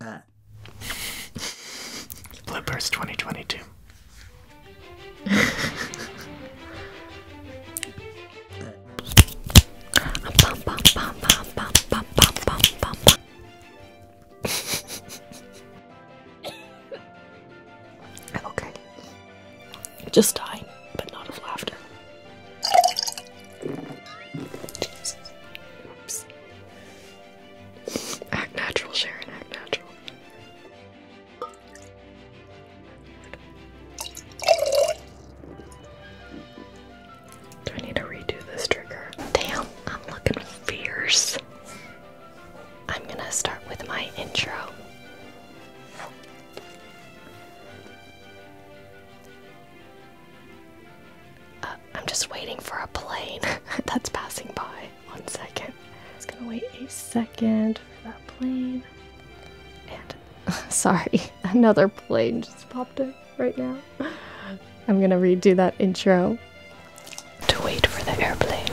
Uh. Bloopers 2022. I'm okay. Just die, but not of laughter. Act natural, Sharon, act natural. Do I need to redo this trigger? Damn, I'm looking fierce. I'm gonna start with my intro. Uh, I'm just waiting for a plane that's passing by. One second. I was gonna wait a second for that plane. And sorry, another plane just popped in right now. I'm gonna redo that intro. To wait for the airplane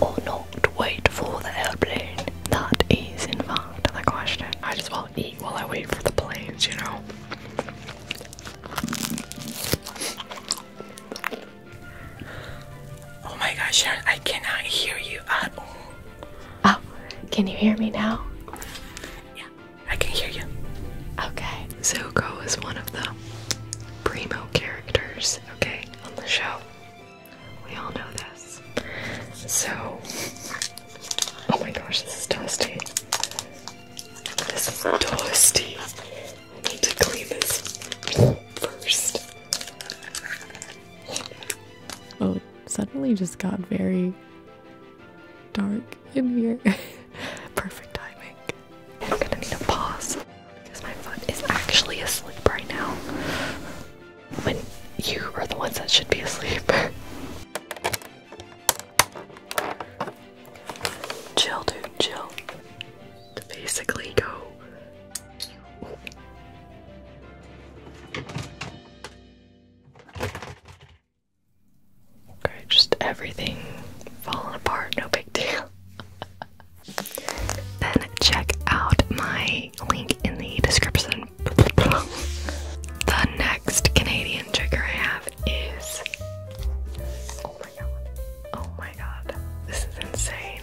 or not to wait for the airplane. That is in fact the question. I just want to eat while I wait for the planes, you know. Oh my gosh, I cannot hear you at all. Oh, can you hear me now? Yeah, I can hear you. Okay, Zuko is one of the primo characters, okay, on the show. We all know this. So, Oh my gosh, this is dusty. This is dusty. I need to clean this first. Oh, suddenly just got very dark in here. Perfect timing. I'm gonna need a pause because my foot is actually asleep right now. When you are the ones that should be asleep. Chill, dude, chill. To basically go. Okay, just everything falling apart, no big deal. then check out my link in the description. the next Canadian trigger I have is oh my god, oh my god, this is insane.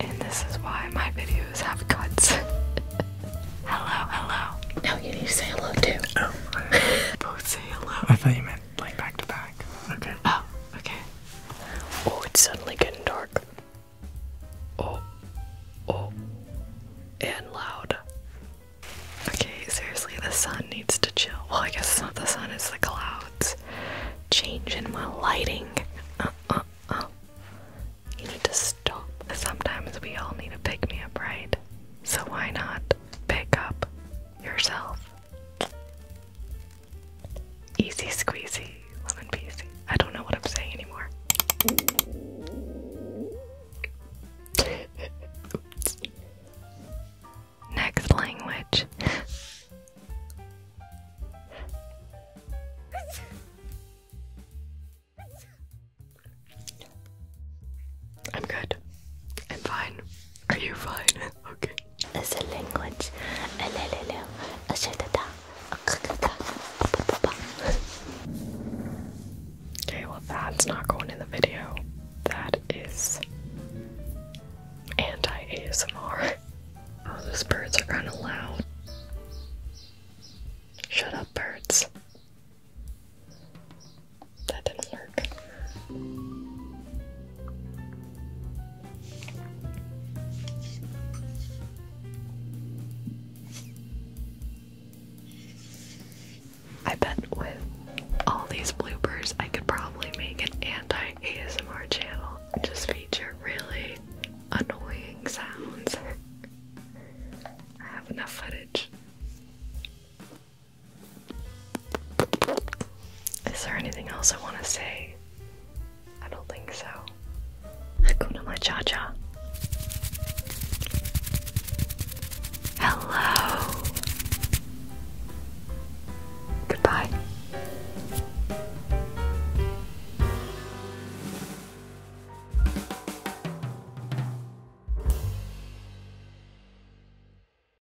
And this is why my videos have cuts. hello, hello. Now you need to say hello too. Oh, both say hello. I thought you meant like back to back. Okay. Oh, okay. Oh, it's suddenly getting dark. Oh, oh, and loud. Okay, seriously, the sun needs to chill. Well, I guess it's not the sun, it's the clouds. Change in my lighting. Uh, uh, uh. You need to stop. Sometimes we all need a pick me up, right? So why not pick up yourself? Easy squeezy lemon pie. I don't know what I'm saying anymore. Next language. I'm good. I'm fine. Are you fine? okay is a language. Okay, well, that's not going in the video. That is anti ASMR. Oh, those birds are running loud. Shut up, birds. That didn't work. I bet with all these bloopers, I could probably make an anti ASMR channel just feature really annoying sounds. I have enough footage. Is there anything else I want to say? I don't think so. go Hakuna Matata. Hello. Goodbye.